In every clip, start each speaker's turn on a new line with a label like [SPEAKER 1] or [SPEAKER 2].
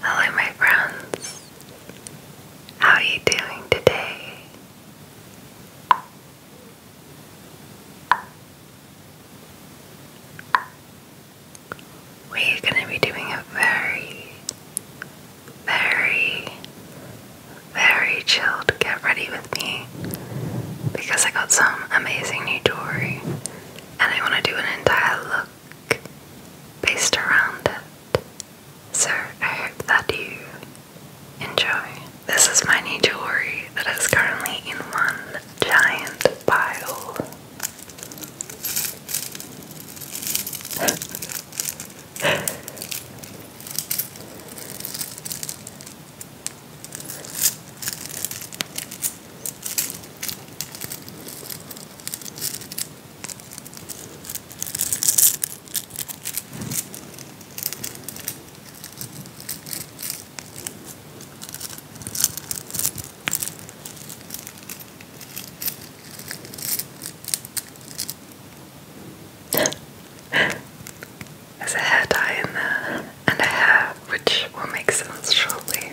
[SPEAKER 1] Hello, my friends. How are you doing today? We're going to be doing a very, very, very chilled get ready with me because I got some amazing new jewelry and I want to do an entire look based around it. So I hope that you enjoy. This is my new jewelry that is currently in one giant pile. There's a hair dye in there and a hair which will make sense shortly.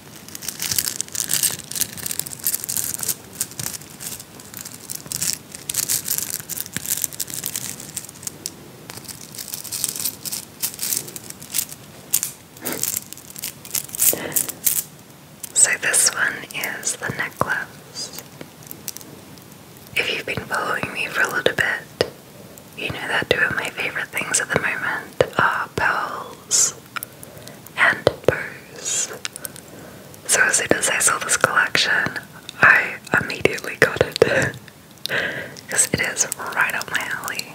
[SPEAKER 1] So, this one is the necklace. If you've been following me for a little bit, you know that two of my favorite things at the moment are pearls and bows. So as soon as I saw this collection, I immediately got it. Because it is right up my alley.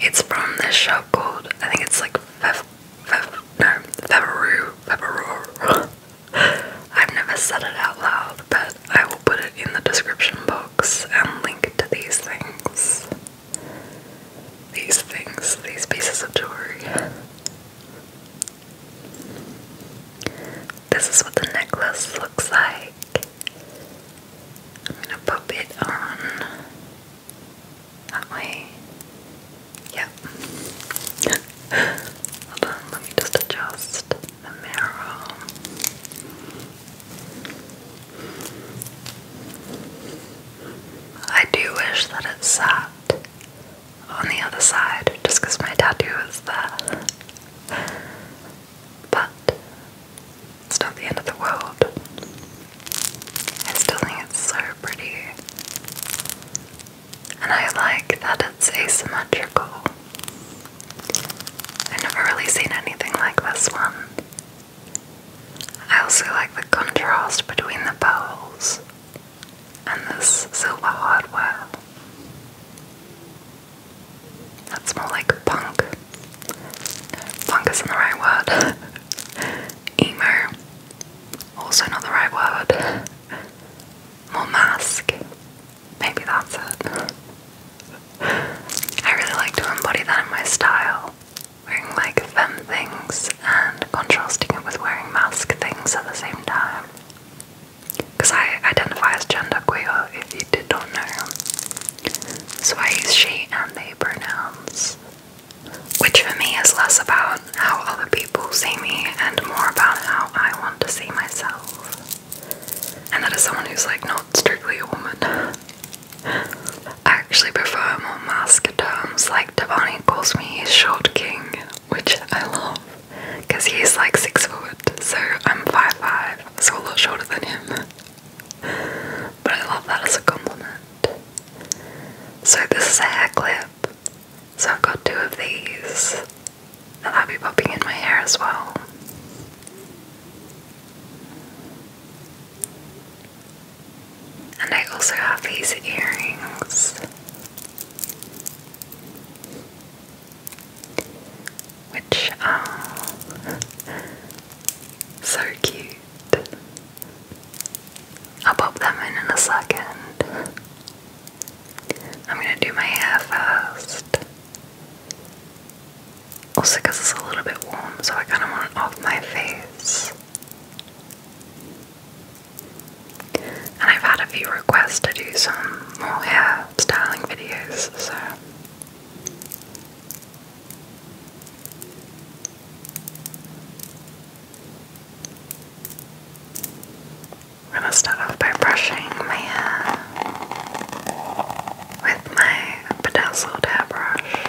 [SPEAKER 1] It's from this shop called, I think it's like Fev, Fev, no, Feveru, Feveru. I've never said it out loud, but I will put it in the description box and link to these things these things, these pieces of jewelry. This is what the necklace looks like. I'm gonna put it on that way. Yep. Hold on, let me just adjust the mirror. I do wish that it sat on the other side just because my tattoo is there. But it's not the end of the world. I still think it's so pretty. And I like that it's asymmetrical. I've never really seen anything like this one. I also like the contrast between the pearls and this silver hardware. That's more like punk. Punk isn't the right word. Emo. Also not the right word. More mask. Maybe that's it. I really like to embody that in my style wearing like femme things and contrasting it with wearing mask things at the same time. Because I identify as genderqueer, if you did not know. So I use she and they pronouns. Which for me is less about how other people see me and more about how I want to see myself. And that is someone who's like not strictly a woman. I actually prefer more mask terms like Tavani calls me short king, which I love because he's like six foot, so I'm five five, so a lot shorter than him. But I love that as a compliment. So this is a hair clip. So I've got two of these and I'll be popping in my hair as well. And I also have these earrings, which are um, so cute. I'll pop them in in a second. I'm gonna do my hair first. Also, because it's a little bit warm, so I kind of want it off my face. And I've had a few requests to do some more hair styling videos, so. I'm gonna start off by brushing my hair with my bedazzled hairbrush.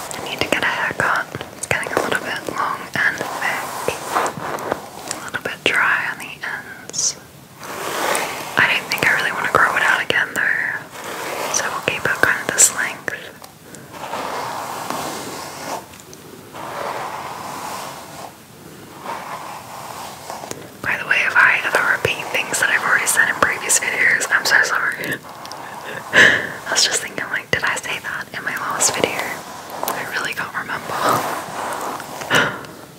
[SPEAKER 1] I need to get a haircut. It's getting a little bit long and thick. A little bit dry on the ends. I don't think I really want to grow it out again though, so we'll keep it kind of this length. By the way, if I ever repeat things that I've already said in previous videos, I'm so sorry. I was just thinking, like, did I say that in my last video? I really do not remember.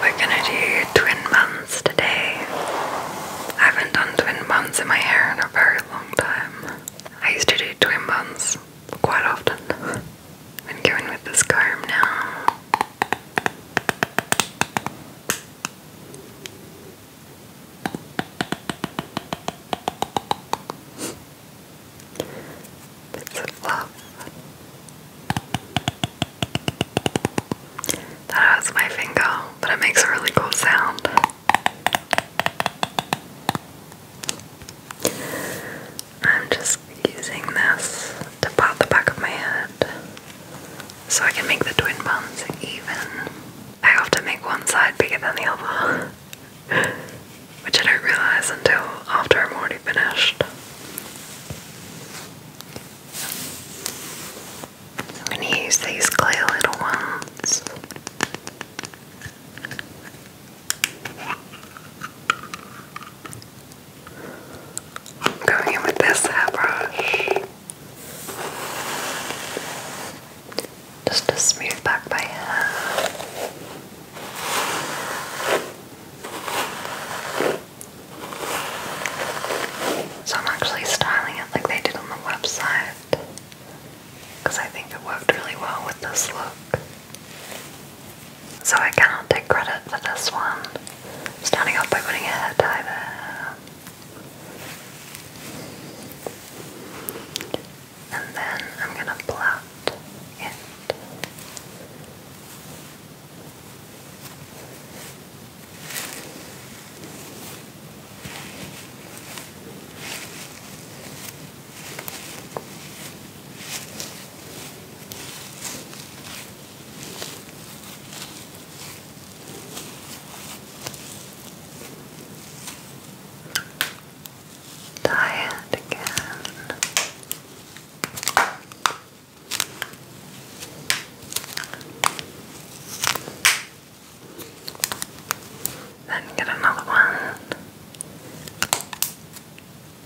[SPEAKER 1] We're gonna do twin buns today. I haven't done twin buns in my hair in a very long time. I used to do twin buns quite often. I'm going with this comb now. Bits of love. That hurts my finger, but it makes a really cool sound. I'm just using this to pop the back of my head so I can make the twin bumps even. I often make one side bigger than the other, which I don't realize until after I'm already finished. I'm going to use these clear little ones. I'm going in with this hairbrush. Just to smooth back my hair. So I'm actually styling it like they did on the website because I think it worked really well with this look. So I cannot take credit for this one. Starting off by putting a hair tie there. And then I'm gonna blot it. Tie it again. Then get another one.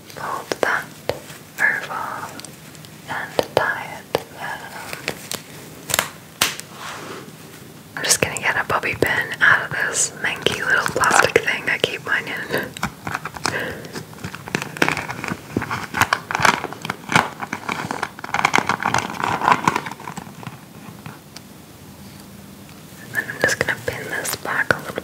[SPEAKER 1] Fold that over and tie it I'm just gonna get a bobby pin out of this manky little plastic thing I keep mine in then I'm just going to pin this back a little bit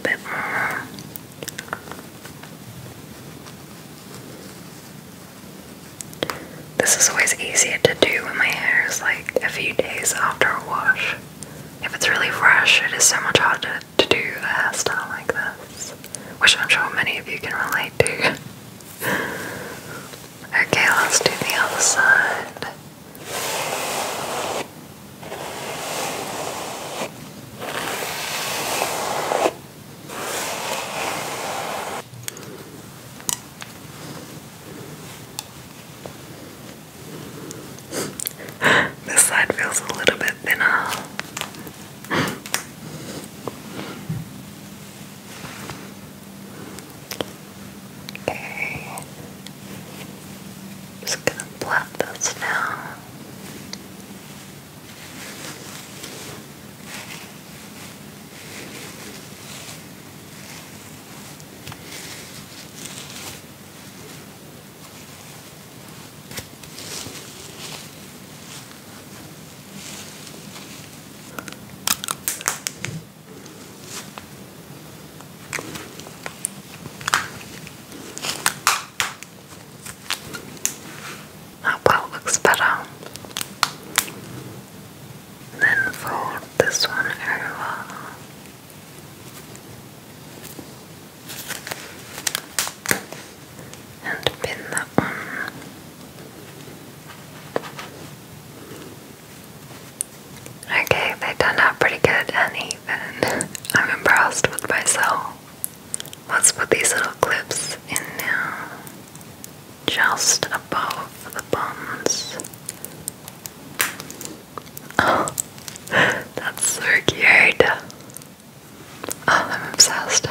[SPEAKER 1] This is always easier to do when my hair is like a few days after a wash. If it's really fresh, it is so much harder to do a hairstyle like this, which I'm sure many of you can relate to. okay, let's do the other side. this side feels a little bit thinner. okay. Just gonna blot those now. That part looks better. Then fold this one over. And pin that on. Okay, they turned out pretty good and even. I'm impressed with myself. Let's put these little clips in now. Just above the buns. Oh, that's so cute. Oh, I'm obsessed.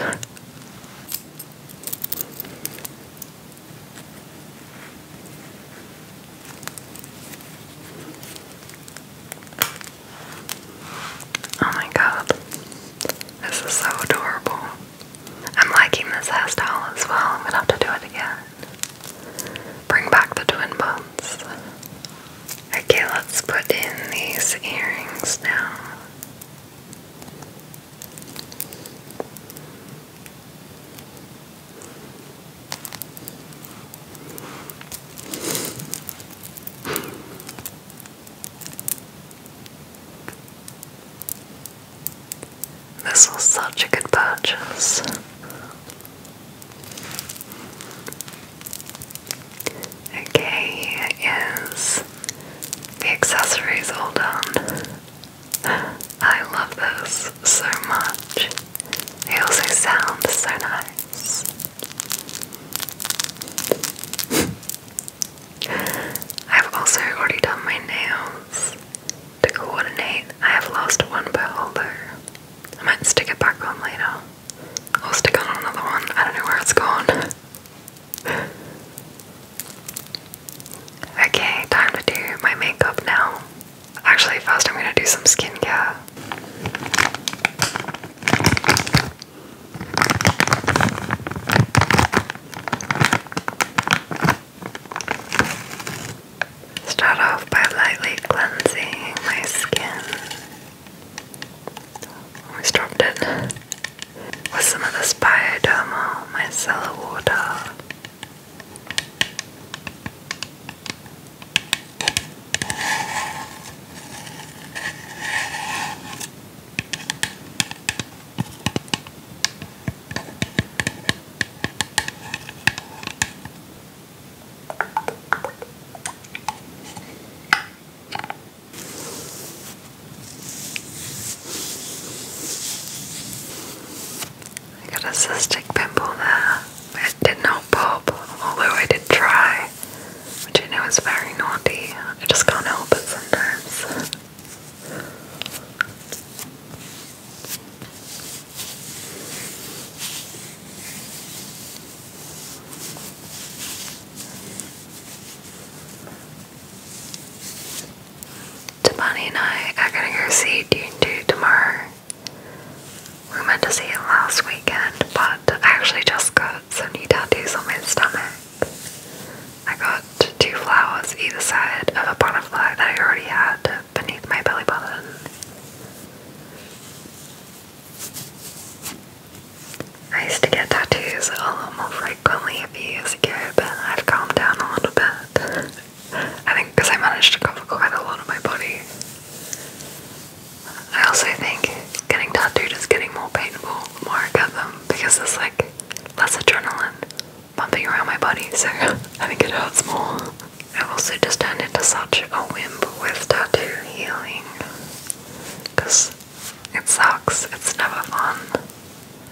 [SPEAKER 1] Oh my god. This is so adorable. I'm liking this hairstyle as well. I'm gonna have to do it again. Bring back the twin buns. Okay, let's put in these earrings now. This was such a good purchase. Okay, here is the accessories all done. I love this so much. They also sound so nice. I've also already done my nails to coordinate. I have lost one pearl though. I might stick it back on later. I'll stick on another one. I don't know where it's gone. okay, time to do my makeup now. Actually, first I'm gonna do some skincare. Start off by lightly cleansing my skin. Almost dropped it. With some of this Bioderma micellar water. I got a cystic pimple there. It did not pop, although I did try, which I know is very naughty. I just can't help it sometimes. Tabani and I are gonna go see Dune 2 tomorrow. We went to see it last weekend, but I actually just got some new tattoos on my stomach. I got two flowers either side of a butterfly that I already had beneath my belly button. I used to get tattoos a lot more frequently a few years ago, but I've calmed down a little bit. I think because I managed to cover quite a lot of my body. I also think getting tattooed is getting more painful the more I get them because there's like less adrenaline bumping around my body, so I think it hurts more. I've also just turned into such a wimp with tattoo healing because it sucks, it's never fun.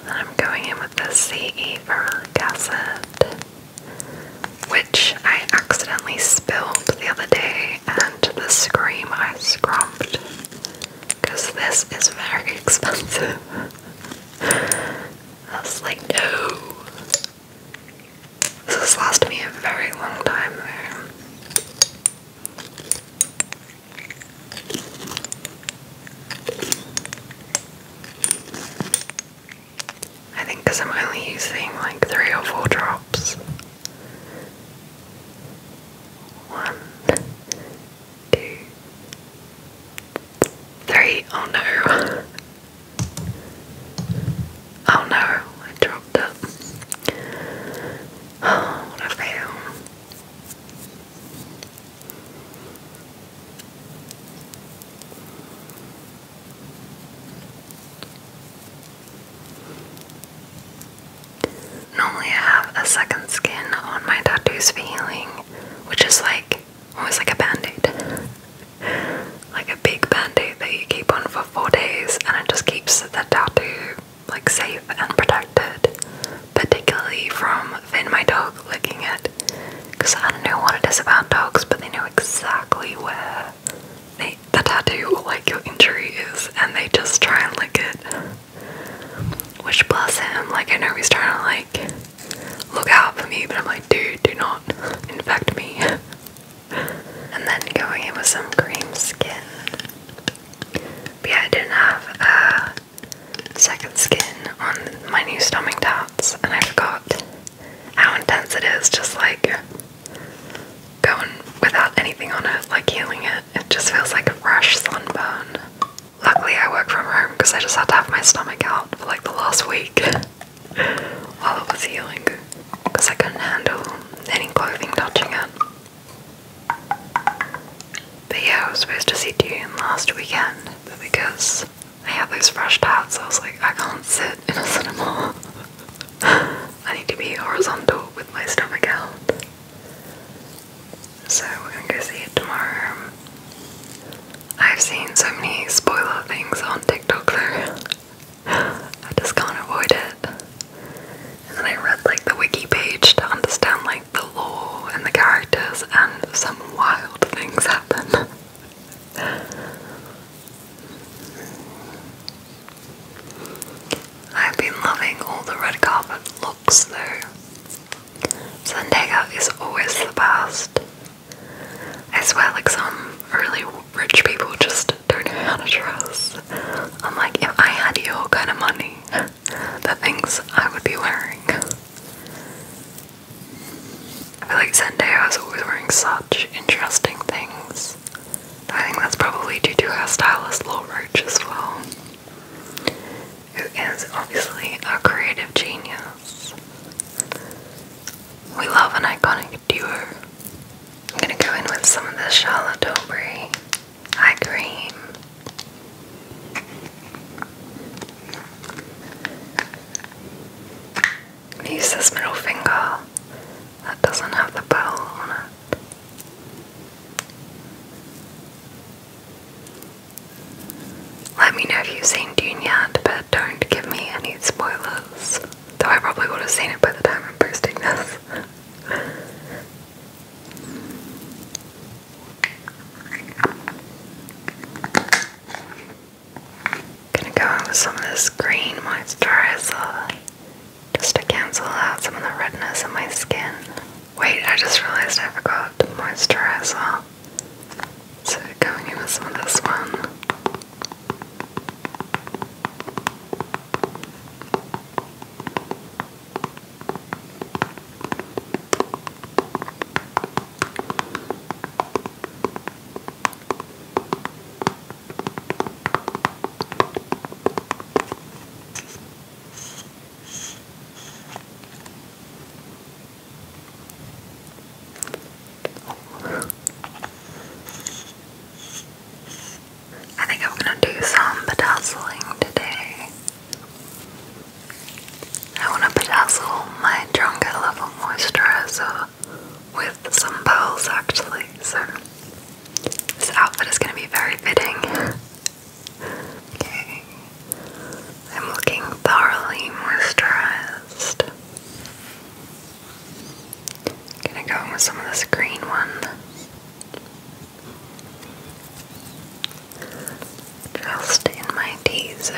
[SPEAKER 1] then I'm going in with the CE ferulic acid, which I accidentally spilled the other day and the scream I scrumped because this is very expensive. That's like, no. This has lasted me a very long time though. I think because I'm only using like three or four drops. One, two, three. Oh no. Oh no, I dropped it. Oh, what a fail. Normally, I have a second skin on my tattoos healing, which is like almost like a band aid. like a big band aid that you keep on for four days and it just keeps the tattoo like safe and protected, particularly from Finn, my dog, licking it. Because I don't know what it is about dogs, but they knew exactly where they like the tattoo like your injury is, and they just try and lick it. Which bless him, like I know he's trying to like look out for me, but I'm like, dude, do not infect me. and then going in with some cream skin. yeah, I didn't have a uh, second skin on my new stomach dots, and I forgot how intense it is. Just like going without anything on it, like healing it. It just feels like a rash sunburn. Luckily, I work from home because I just had to have my stomach out for like the last week while it was healing because I couldn't handle any clothing touching it. But yeah, I was supposed to see Dune last weekend, because I had those fresh pads. I was like, I can't sit in a cinema. I need to be horizontal with my stomach out. So we're gonna go see it tomorrow. I've seen so many spoiler things on TikTok though. I just can't avoid it. And I read like the wiki to understand like the lore and the characters and some wild things happen. I've been loving all the red carpet looks though. Zendaya is always the best. I swear, like some really rich people just don't know how to dress. I'm like, if I had your kind of money, the things I would be wearing. I feel like Zendaya is always wearing such interesting things. I think that's probably due to our stylist Law Roach as well, who is obviously a creative genius. We love an iconic duo. I'm gonna go in with some of the Charlotte Tilbury eye cream. I'm use this middle finger that doesn't have the bell on it. Let me know if you've seen Dune yet, but don't give me any spoilers. Though I probably would have seen it by the time I'm this. Gonna go in some of this green moisturizer just to cancel out some of the redness in my skin. Wait, I just realized I forgot the moisturizer. So going in with some of this one. I think I'm gonna do some bedazzling today. I want to bedazzle my Drunk Level Moisturizer with some pearls actually, so this outfit is going to be very fitting. Okay. I'm looking thoroughly moisturized. gonna go with some of this green one. Just in my teaser.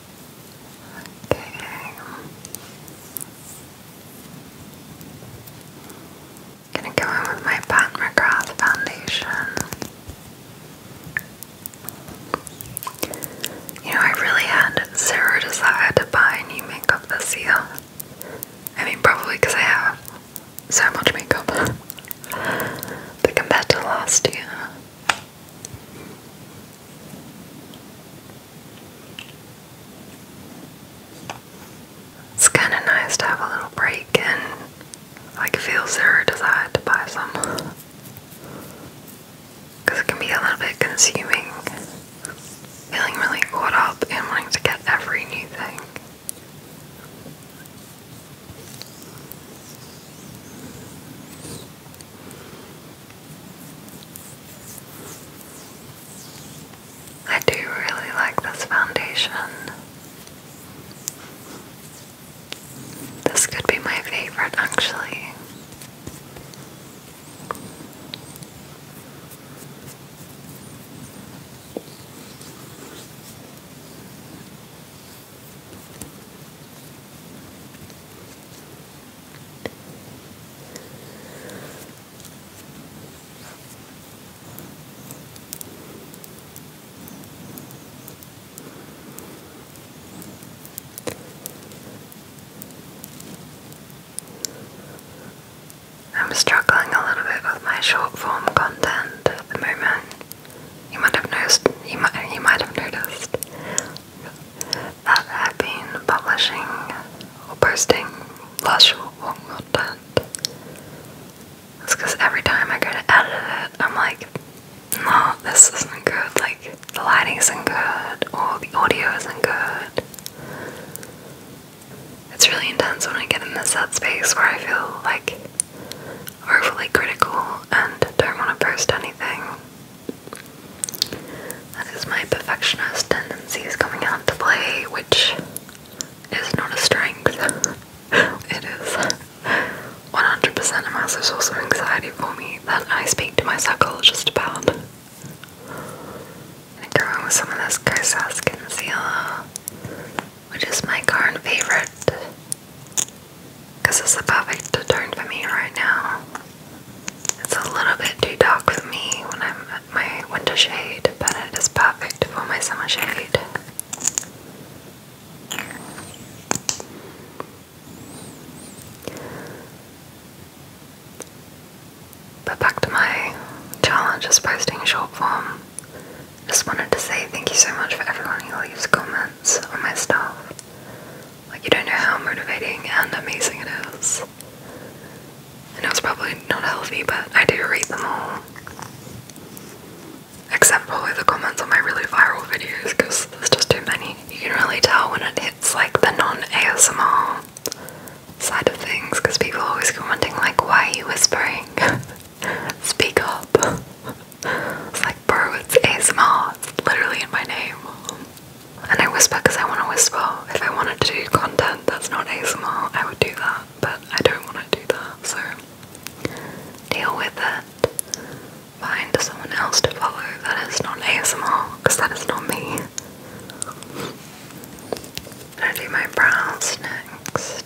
[SPEAKER 1] Okay. I'm gonna go in with my Pat McGrath foundation. You know, I really had zero desire to buy new makeup this year. I mean, probably because I have so much makeup, but compared to last year, it's kind of nice to have a little break and like feel zero desire to buy some it can be a little bit consuming feeling really caught up and wanting to get every new thing. I do really like this foundation. This could be my favorite actually. I'm struggling a little bit with my short form content at the moment. You might have noticed. You might. You might have noticed that I've been publishing or posting last short oh long content. It's because every time I go to edit it, I'm like, no, this isn't good. Like, the lighting isn't good, or the audio isn't good. It's really intense when I get in this sad space where I feel like overly critical and don't want to post anything. That is my perfectionist tendencies coming out to play, which is not a strength. it is 100% a massive source of anxiety for me that I speak to my psychologist about. i go going with some of this Kosas concealer, which is my current favorite because it's the perfect tone for me right now. It's a little bit too dark for me when I'm at my winter shade, but it is perfect for my summer shade. But back to my challenge is posting short form. Just wanted to say thank you so much for everyone who leaves comments on my stuff. Like, you don't know how motivating and amazing it is. And it was probably not healthy, but I do read them all. Except probably the comments on my really viral videos, because there's just too many. You can really tell when it hits like the non ASMR side of things, because people are always commenting, like, why are you whispering? Speak up. it's like, bro, it's ASMR, it's literally in my name. And I whisper because I want to whisper. If I wanted to do content that's not ASMR, I would do that, but I don't want to do that, so deal with it. Find someone else to follow that is not ASMR because that is not me. I do my brows next.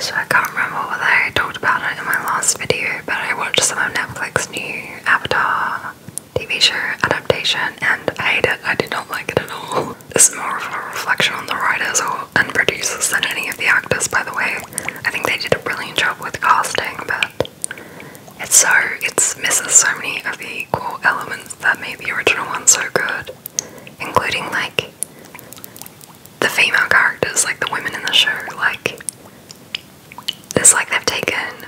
[SPEAKER 1] So I can't remember whether I talked about it in my last video, but I watched some of Netflix new Avatar TV show adaptation, and I hate it. I did not like it at all. This is more of a reflection on the writers or, and producers than any of the actors, by the way. I think they did a brilliant job with casting, but it's so it misses so many of the cool elements that made the original one so good, including like the female characters, like the women in the show. Like it's like they've taken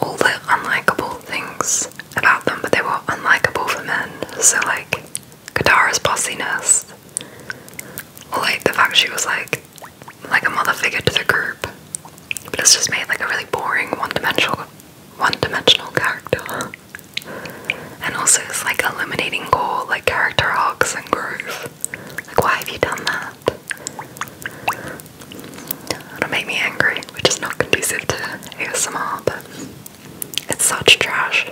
[SPEAKER 1] all the unlikable things about them, but they were unlikable for men. So like Katara's bossiness, or like the fact she was like like a mother figure to the group, but it's just made like a really boring one-dimensional one-dimensional character. And also it's like eliminating core like character arcs and growth. Like why have you done that? It'll make me angry, which is not conducive to ASMR, but it's such trash.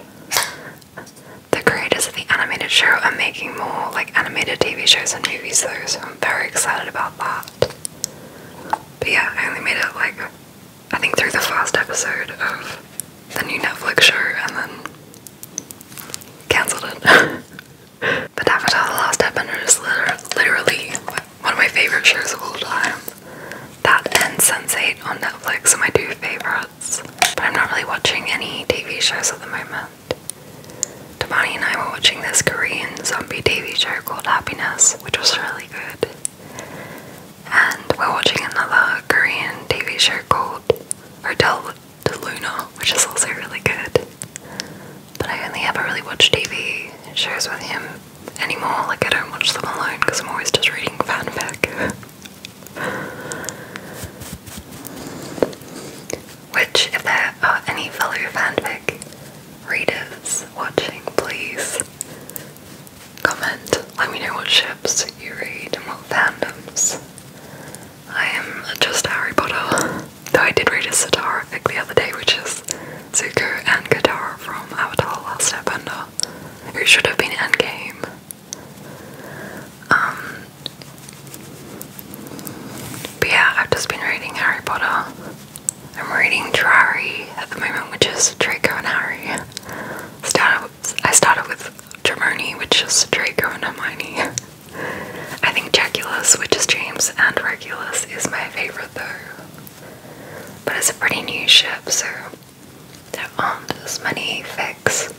[SPEAKER 1] The creators of the animated show are making more like animated TV shows and movies though, so I'm very excited about that. But yeah, I only made it like I think through the first episode of the new Netflix show and then cancelled it. But that was Avatar The Last episode, is literally one of my favourite shows of all time. That and Sense8 on Netflix are my two favourites. But I'm not really watching any TV shows at the moment. Damani and I were watching this Korean zombie TV show called Happiness, which was really good. And we're watching another Korean TV show called Hotel de Luna, which is also really good. But I only ever really watch TV shows with him anymore. Like, I don't watch them alone because I'm always just reading fanfic. Which, if there are any fellow fanfic readers watching, please comment. Let me know what ships you read and what fandoms. I am just Harry Potter. Though I did read a Satara fic the other day, which is Zuko and Katara from Avatar Last Airbender, who should have been Endgame. Um, but yeah, I've just been reading Harry Potter. I'm reading Drari at the moment, which is Draco and Harry. Started I started with Germony, which is Draco and Hermione. I think Jaculus, which is James, and Regulus is my favorite though. But it's a pretty new ship, so there aren't as many fics.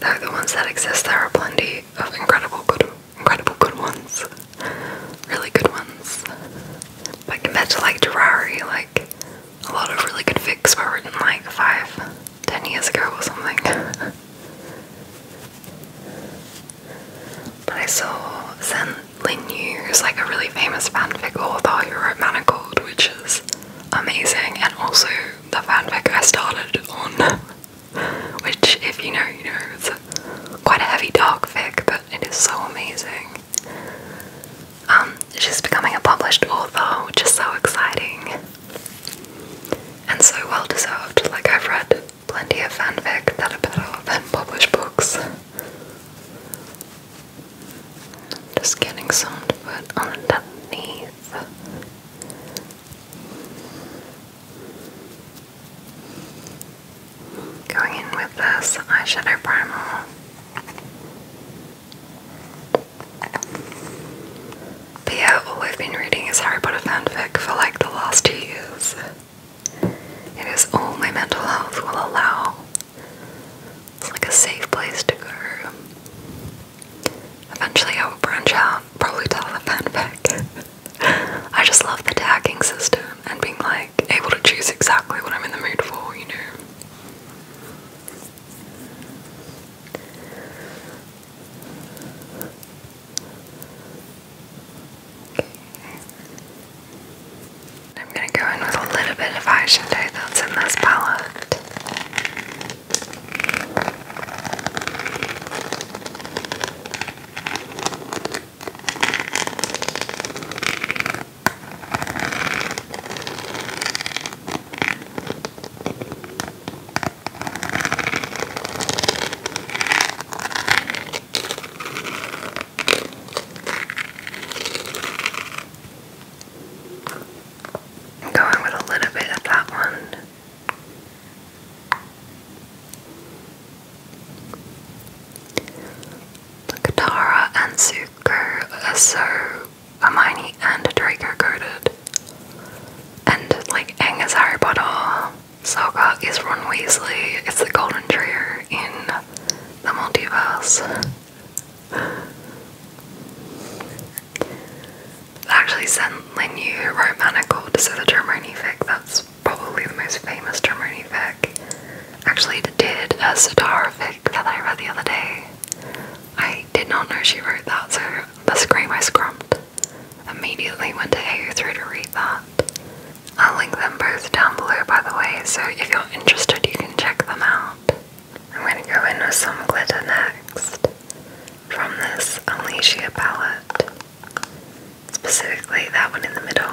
[SPEAKER 1] Though the ones that exist, there are plenty of incredible good, incredible good ones, really good ones. But compared to like Terrari, like a lot of really good fics were written like five, ten years ago or something. But I saw Zen Lin Yu, like a really famous fanfic author who wrote Manacled, which is amazing, and also the fanfic I started on, which, if you know, you know, it's quite a heavy dark fic, but it is so amazing. Um, she's becoming a published author, which is so exciting and so well deserved. Like, I've read Plenty of fanfic that are better than published books. Just getting some to put underneath. Going in with this eyeshadow primer. yeah, all I've been reading is Harry Potter fanfic for like the last two years. It is all my mental health will allow. It's like a safe place to go. Eventually, I will branch out, probably to have a fanfic. I just love the tagging system and being like able to choose exactly what I'm in the mood for, you know. I'm going to go in with a little bit of eyeshadow that's in this palette. I'm going with a little bit of that one. Katara and Zuko are so Hermione and Draco coded. And like Aang as Saga is Ron Weasley. It's the golden trio in the multiverse. actually sent Lenu Romanical to say the Dromoni fic. That's probably the most famous Dromoni fic. Actually did a Sodara that I read the other day. I did not know she wrote that, so the scream I scrumped immediately went to ao through to read that. I'll link them both down below, by the way, so if you're interested, you can check them out. I'm going to go in with some glitter next from this Unleashia palette, specifically that one in the middle.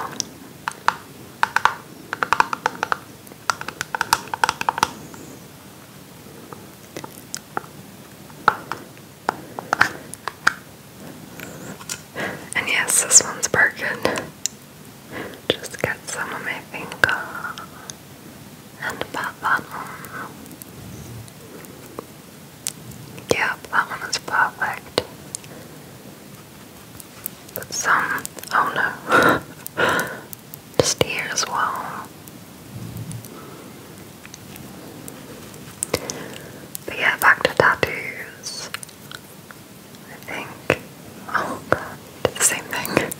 [SPEAKER 1] And yes, this one's broken. Just get some on my finger and pop that on. Yep, that one is perfect. some, oh no, just here as well. But yeah, back to tattoos. I think, oh god, same thing.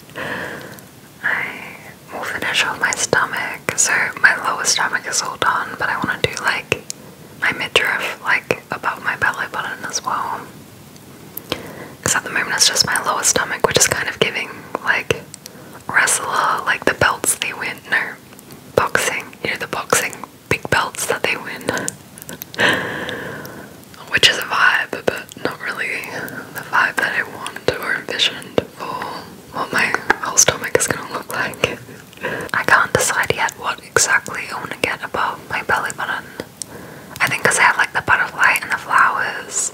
[SPEAKER 1] I will finish off my stomach, so my lower stomach is all done, but I want to do like my midriff, like above my belly button as well. Because at the moment it's just my lower stomach, which is kind of giving like wrestler, like the belts they win, no, boxing, you know, the boxing big belts that they win, which is a vibe, but not really the vibe that I want or envisioned for what my whole stomach is gonna look like. I can't decide yet what exactly I want to get above my belly button. I think because I have like the butterfly and the flowers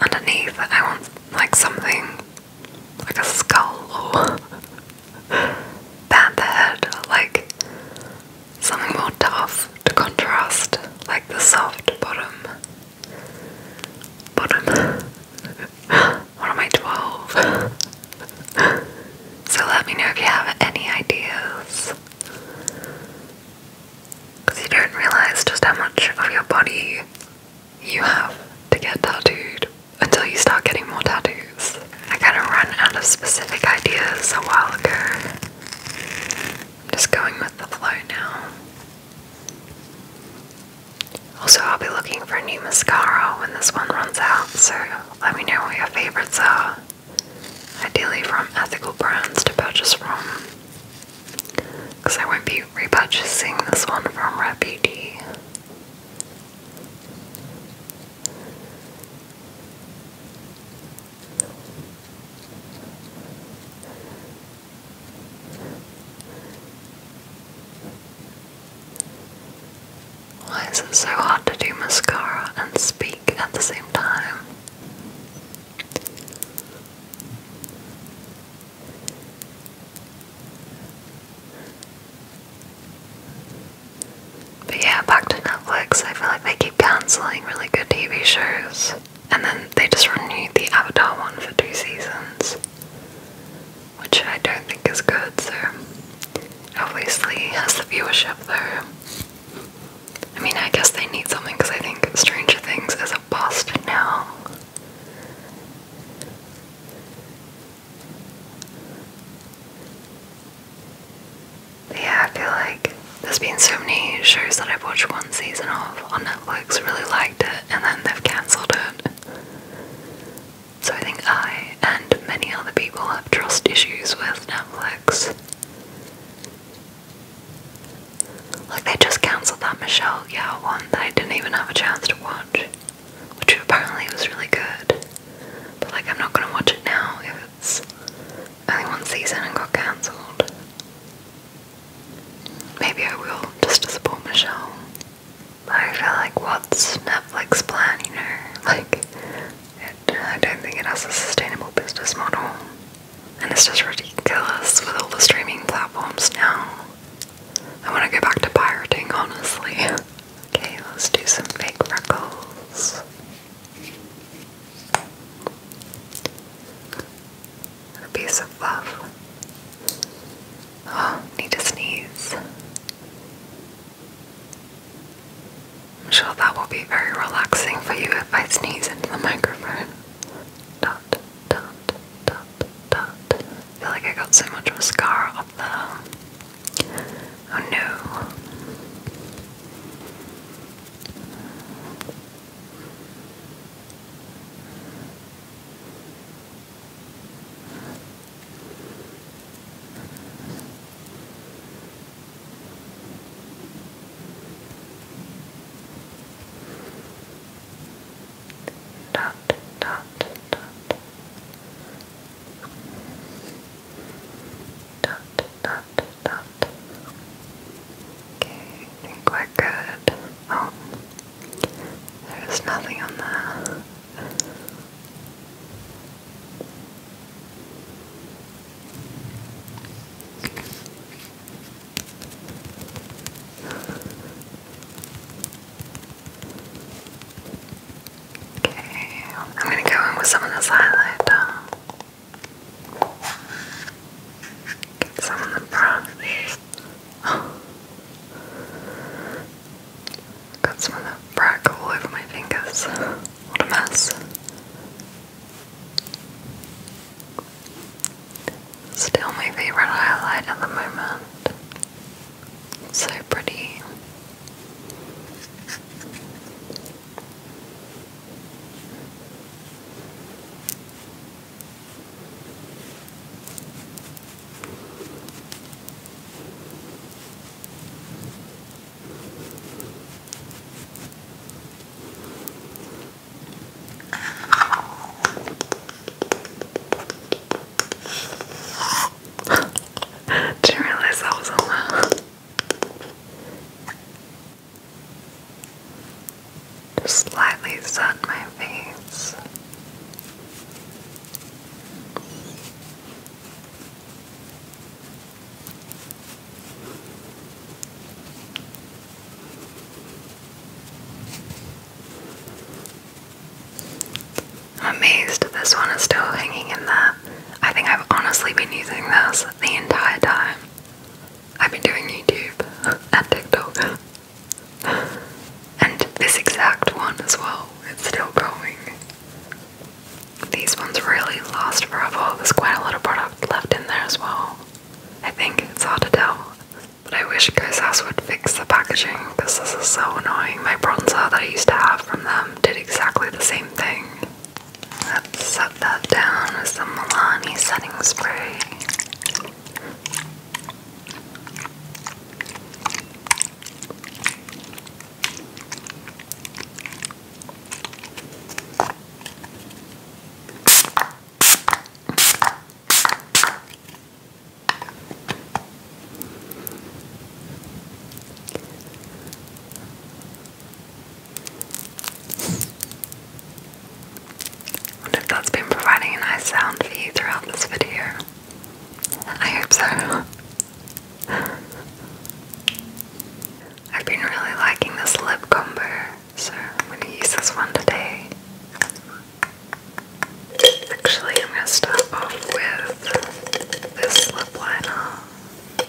[SPEAKER 1] underneath, I want like something like a skull or band the head like something more tough to contrast, like the soft bottom. Bottom. what am I, 12? so let me know if you have any ideas. Because you don't realize just how much of your body you have to get tattooed until you start getting more tattoos. I kind of ran out of specific ideas a while ago. I'm just going with the flow now. Also, I'll be looking for a new mascara when this one runs out, so let me know what your favorites are. Ideally, from ethical brands to purchase from. Because I won't be repurchasing this one from Rare why is it so hard to do mascara and speak at the same time? But yeah, back to Netflix. I feel like they keep cancelling really good TV shows. And then they just renewed the Avatar one for two seasons, which I don't think is good, so obviously has the viewership though. I mean, I guess they need something because I think Stranger Things is a bust now yeah, I feel like there's been so many shows that I've watched one season of on Netflix, really liked it, and then they've cancelled it. So I think I and many other people have trust issues with Netflix. Like they just cancelled that Michelle Yao one that I didn't even have a chance to watch, which apparently was really good. But like, I'm not gonna watch it now if it's only one season and got cancelled. Maybe I will just to support Michelle. But I feel like, what's Netflix planning? You like, I don't think it has a sustainable business model, and it's just ridiculous with all the streaming platforms now. I want to go back to pirating, honestly. Okay, let's do some fake freckles. A piece of fluff. Oh, need to sneeze. I'm sure that will be very relaxing for you if I sneeze into the microphone. feel like I got so much mascara Oh who Dot, dot, dot. Dot, dot, dot. Okay, I think we're good. Oh, there's nothing on that. Okay, I'm gonna go in with some of this highlighter. some of the brows. Oh. Got some of the brack all over my fingers. What a mess. Still my favourite highlight at the moment. so pretty. Didn't realize that was a just slightly sun my face. I'm amazed this one is still hanging in there. I think I've honestly been using this the entire time. I've been doing YouTube and TikTok. and this exact one as well. It's still going. These ones really last forever. There's quite a lot of product left in there as well. I think it's hard to tell. But I wish Ghost House would fix the packaging because this is so annoying. My bronzer that I used to have from them did exactly the same thing. Let's set that down with some Milani setting spray. Wonder if that's been providing a nice sound for you throughout this video. I hope so. I've been really liking this lip combo, so I'm going to use this one today. Actually, I'm going to start off with this lip liner.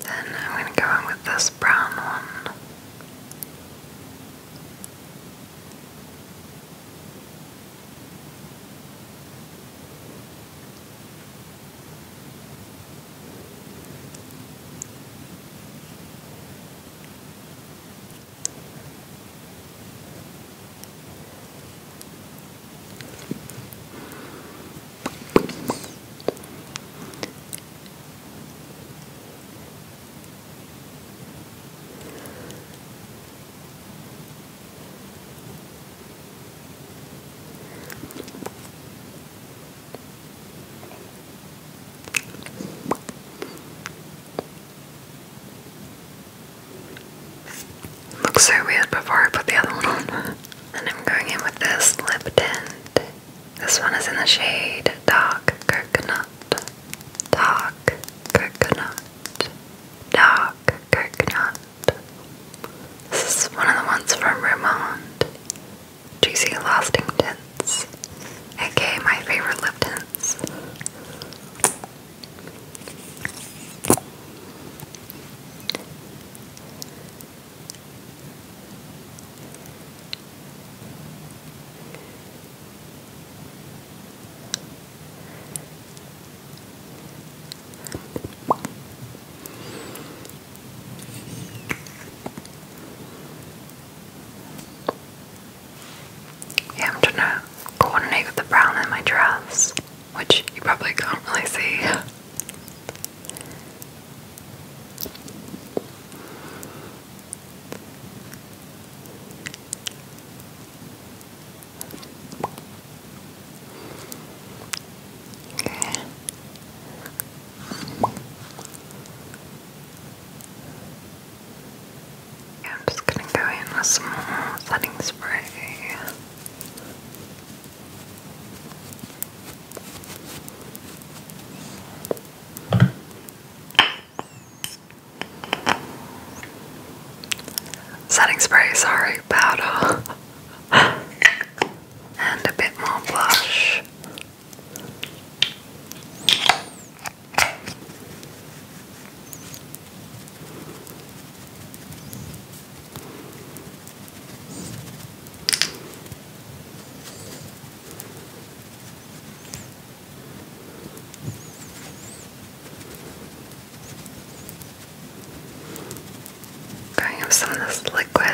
[SPEAKER 1] Then I'm going to go in with this brown one. Looks so weird before I put the other one on. And I'm going in with this lip tint. This one is in the shade Dark Coconut. Dark Coconut. Dark Coconut. This is one of the ones from Romond. Juicy Lasting Tints. aka my favorite lip tints. Yeah, I'm trying to coordinate with the brown in my dress, which you probably can't really see. Okay. I'm just gonna go in with some more setting spray. Setting spray, sorry, powder. and a bit more blush. Going with some of this liquid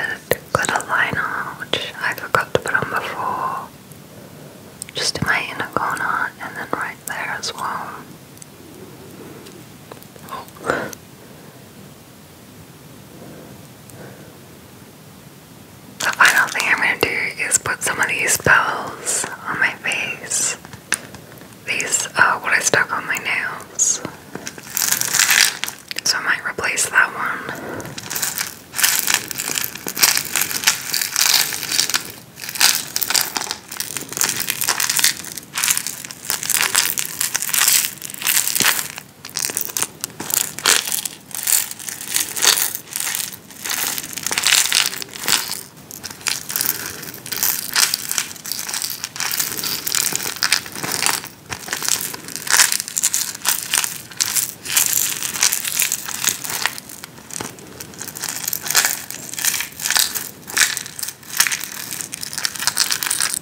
[SPEAKER 1] glitter liner, which I forgot to put on before, just in my inner corner and then right there as well. The final thing I'm going to do is put some of these bells on my face. These uh, what I stuck on my nails. So I might replace that one.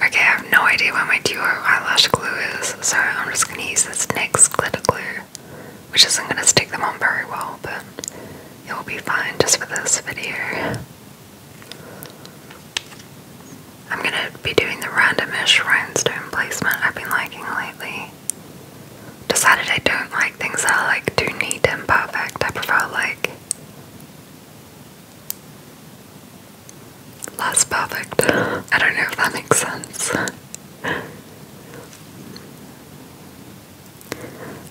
[SPEAKER 1] Okay, I have no idea where my duo eyelash glue is so I'm just going to use this next glitter glue, which isn't going to stick them on very well, but it will be fine just for this video. I'm going to be doing the randomish rhinestone placement I've been liking lately. Decided I don't like things that are like too neat and perfect. I prefer like that's perfect. I don't know if that makes sense.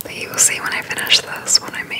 [SPEAKER 1] But you will see when I finish this what I mean.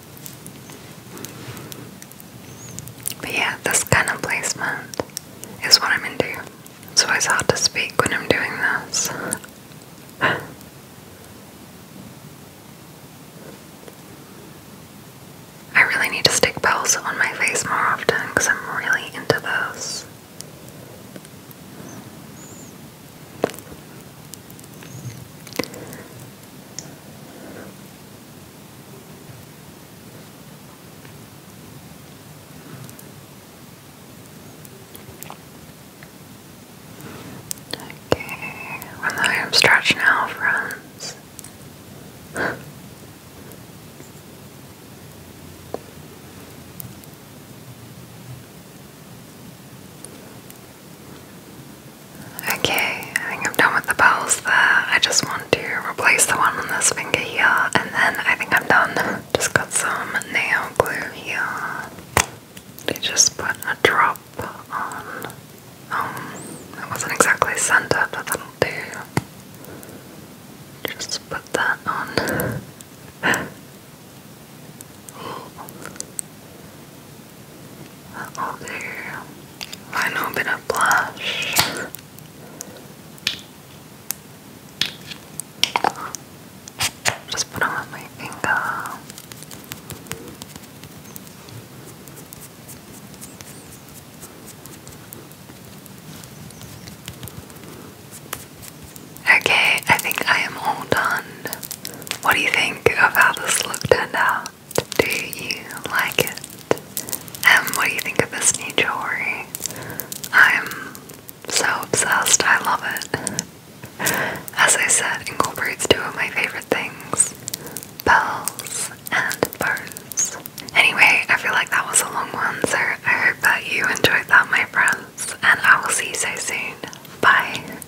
[SPEAKER 1] But yeah, this kind of placement is what I'm into. It's always hard to speak when I'm doing this. I really need to stick bells on my face more often because I'm really into those. Okay, well, I am stretched now, friends. Okay, I think I'm done with the bells there. I just want to replace the one on this finger here, and then I think I'm done. Just got some nail glue here. They just put a drop on. Oh, um, that wasn't exactly centered, but that'll do. Just put that on. Okay, a bit of blush. Just put on my finger. Okay, I think I am all done. What do you think of how this look turned out? Do you like it? And what do you think of this new jewelry? I'm so obsessed, I love it. As I said, incorporates two of my favorite things bells and bows. Anyway, I feel like that was a long one, so I hope that you enjoyed that, my friends, and I will see you so soon. Bye.